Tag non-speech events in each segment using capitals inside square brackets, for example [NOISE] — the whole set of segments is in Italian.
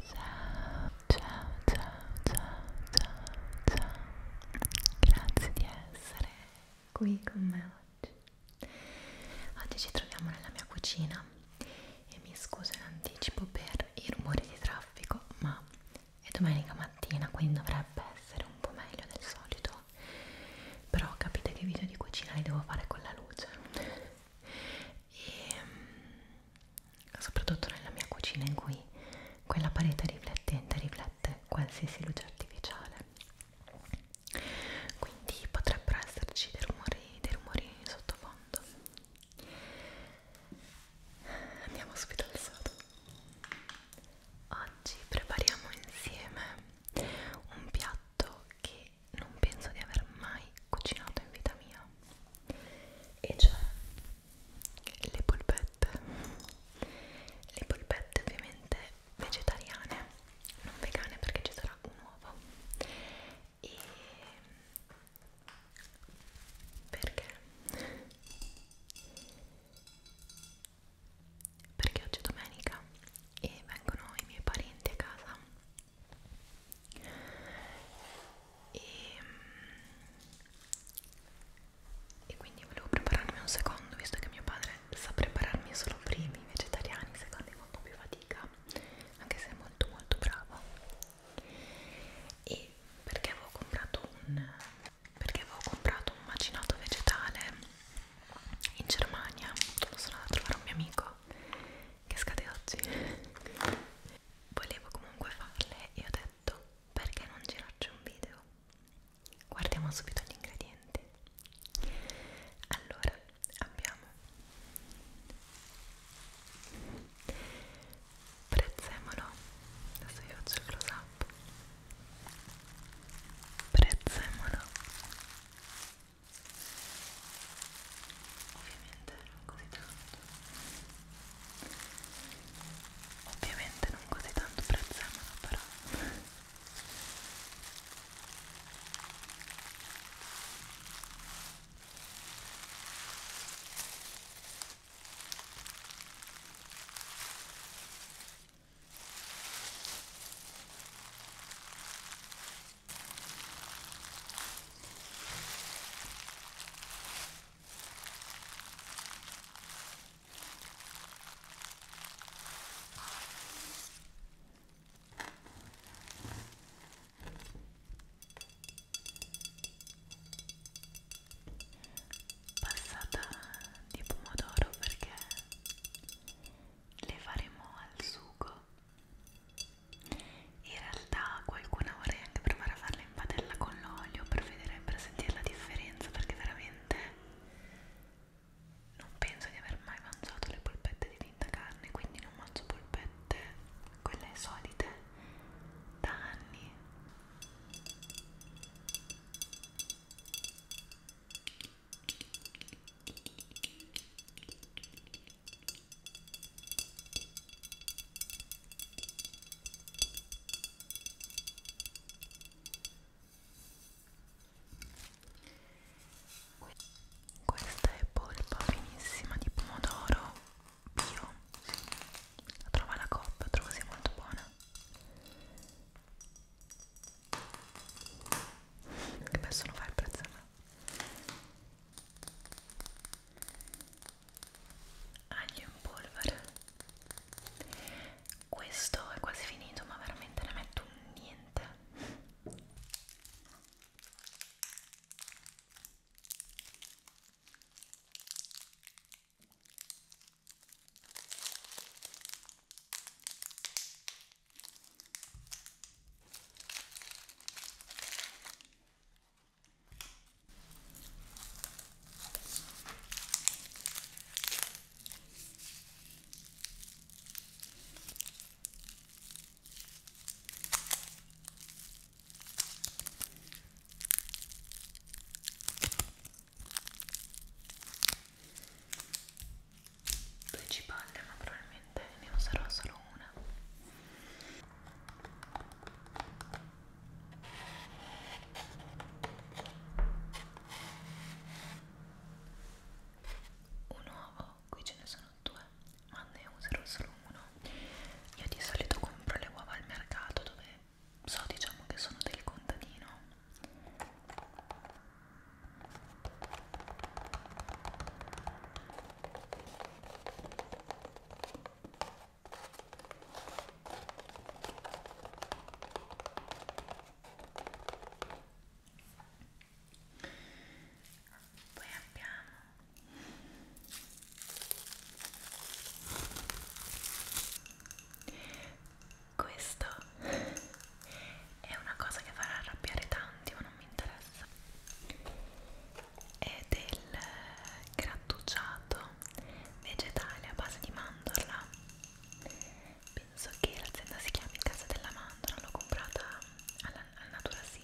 Ciao, ciao, ciao, ciao, ciao, ciao. Grazie di essere qui con me oggi. Oggi ci troviamo nella mia cucina e mi scuso in anticipo per i rumori di traffico, ma è domenica mattina, quindi dovrebbe essere un po' meglio del solito. Però capite che i video di cucina li devo fare con la luce. E soprattutto nella mia cucina in cui quella parete riflettente riflette qualsiasi luce artificiale quindi potrebbero esserci dei rumori, dei rumori sottofondo andiamo subito al sodo oggi prepariamo insieme un piatto che non penso di aver mai cucinato in vita mia e cioè le polpette le polpette ovviamente vegetariane non vegane perché ci sarà un uovo e perché? perché oggi è domenica e vengono i miei parenti a casa e, mm, e quindi volevo prepararmi un secondo visto che mio padre sa prepararmi solo primi vegetariani secondi con un po' più fatica anche se è molto molto bravo e perché avevo comprato un perché avevo comprato un macinato vegetale in Germania sono andata a trovare un mio amico che scade oggi volevo comunque farle e ho detto perché non girarci un video guardiamo subito gli ingredienti allora abbiamo prezzemolo adesso io faccio il close up prezzemolo ovviamente così tanto Ovviamente non così tanto prezzemolo però passata di pomodoro perché le faremo al sugo in realtà qualcuna vorrei anche provare a farla in padella con l'olio per vedere per sentire la differenza perché veramente non penso di aver mai mangiato le polpette di tinta carne quindi non mangio polpette quelle solite da anni questa è polpa finissima di pomodoro bio. La trova alla coppa, trovo sia molto buona. Che spesso non fa il prezzo a me aglio in polvere questo è quasi finito ma veramente ne metto un niente Due cipolle, ma probabilmente ne userò solo una un uovo qui ce ne sono due ma ne userò solo uno io di solito compro le uova al mercato dove so diciamo che sono del contadino poi abbiamo questo è una cosa che farà arrabbiare tanti ma non mi interessa è del grattugiato vegetale a base di mandorla penso che l'azienda si chiami Casa della Mandorla l'ho comprata alla, alla Natura Sì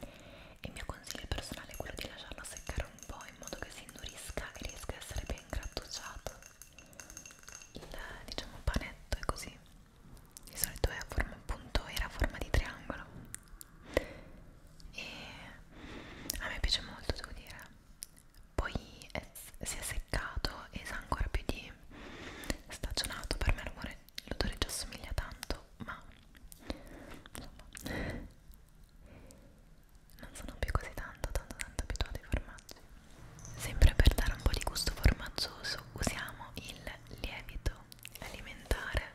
e il mio consiglio personale è quello di lasciarlo seccare un po' in modo che si indurisca e riesca a essere ben grattugiato il diciamo panetto è così di solito è a forma appunto era a forma di triangolo e a me piace molto devo dire poi è, si è seccato e sa ancora più di stagionato per me l'odore già assomiglia tanto ma insomma non sono più così tanto tanto tanto abituata ai formaggi sempre per dare un po' di gusto formaggioso usiamo il lievito alimentare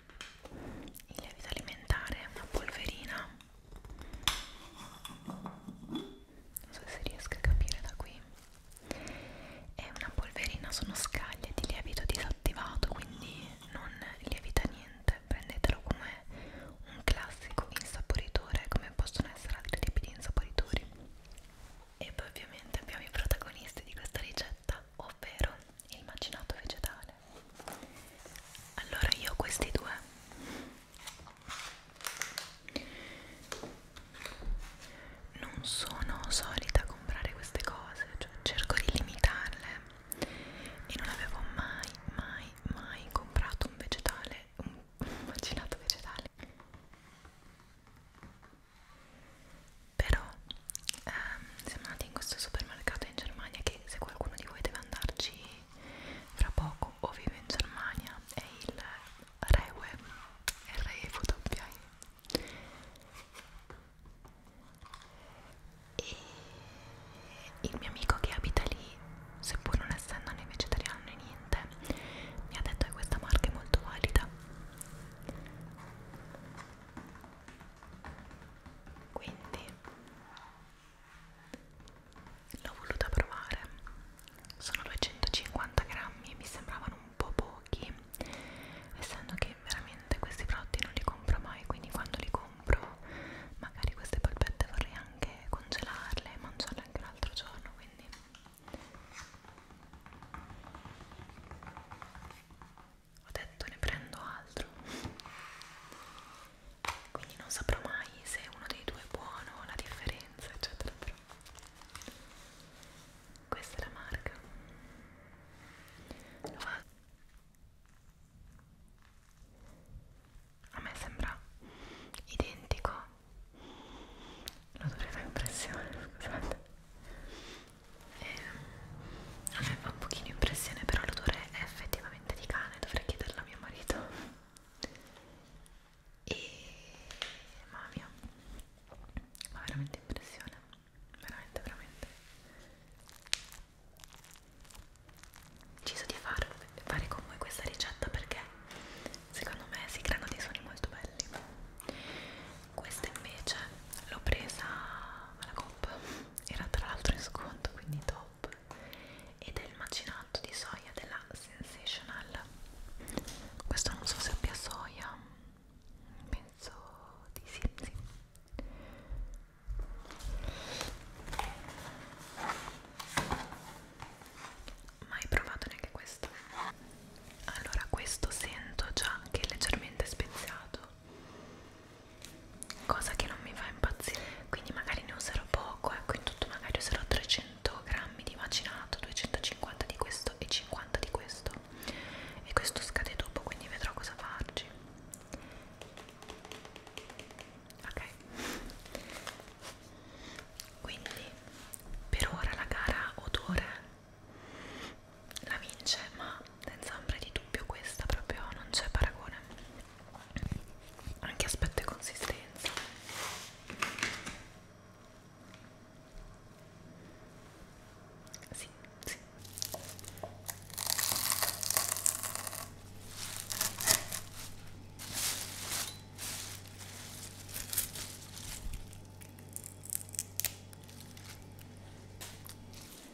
il lievito alimentare, una polverina non so se riesco a capire da qui è una polverina, sono scaglie di lievito disattivato quindi non lievita niente prendetelo come un classico insaporitore come possono essere altri tipi di insaporitori e poi ovviamente abbiamo i protagonisti di questa ricetta ricetta, ovvero il macinato vegetale. Allora io ho questi due. Non sono solita comprare queste cose, cioè cerco di limitarle e non avevo mai, mai, mai comprato un vegetale, un [LAUGHS] macinato vegetale però ehm, siamo andati in questo supermercato in Germania che se qualcuno di voi deve andarci fra poco o vive in Germania è il Rewe R-E-W-E e il mio amico che abita lì seppur non essendo né vegetariano né niente mi ha detto che questa marca è molto valida quindi l'ho voluta provare sono 250 grammi mi sembravano un po' pochi essendo che veramente questi prodotti non li compro mai quindi quando li compro magari queste polpette vorrei anche congelarle e mangiarle anche un altro giorno quindi ho detto ne prendo altro quindi non saprò mai se uno dei due è buono la differenza eccetera però questa è la marca lo faccio a me sembra identico lo dovrei fare impressione scusate e ehm, a me fa un pochino impressione però l'odore è effettivamente di cane dovrei chiederlo a mio marito e mamma mia fa veramente impressione veramente veramente ho deciso di far, fare con voi questa ricetta perché secondo me si creano dei suoni molto belli questa invece l'ho presa alla comp era tra l'altro in sconto quindi top ed è il macinato di soia della Sensational questo non so se abbia soia penso di sì, sì. mai provato neanche questo allora questo sento già che è leggermente speziato cosa che non mi fa impazzire quindi magari ne userò poco ecco in tutto magari userò 300 grammi di macinato 250 di questo e 50 di questo e questo scade dopo quindi vedrò cosa farci ok quindi per ora la gara odore la vince, ma senza ombra di dubbio questa proprio non c'è paragone. Anche aspetto e consistenza. Sì, sì.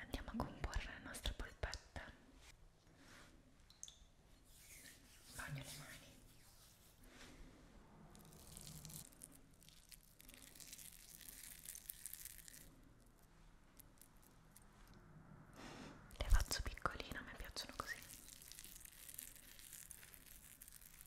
Andiamo a comporre le nostre polpette. Bagno le mani. Le faccio piccoline, a me piacciono così.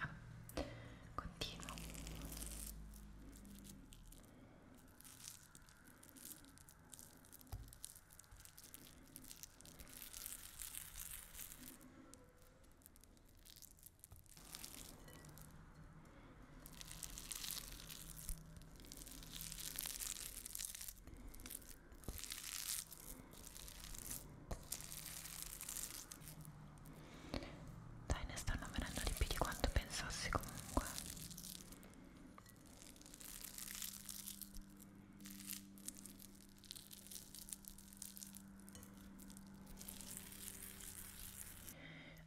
Ah, continuo. Dai, ne stanno venendo di più di quanto pensassi comunque.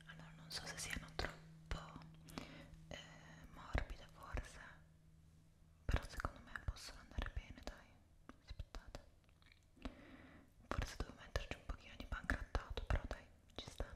Allora, non so se siano troppo eh, morbide forse, però secondo me possono andare bene, dai. Aspettate. Forse devo metterci un pochino di pangrattato, però dai, ci stanno.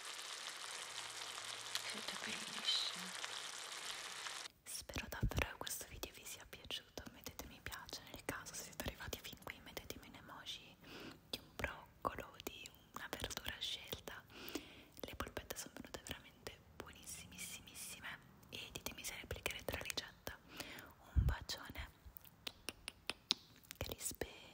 scelta bellissima spero davvero che questo video vi sia piaciuto mettete mi piace nel caso se siete arrivati fin qui mettetemi un emoji di un broccolo di una verdura scelta le polpette sono venute veramente buonissimissime e ditemi se replicherete la ricetta un bacione che li spera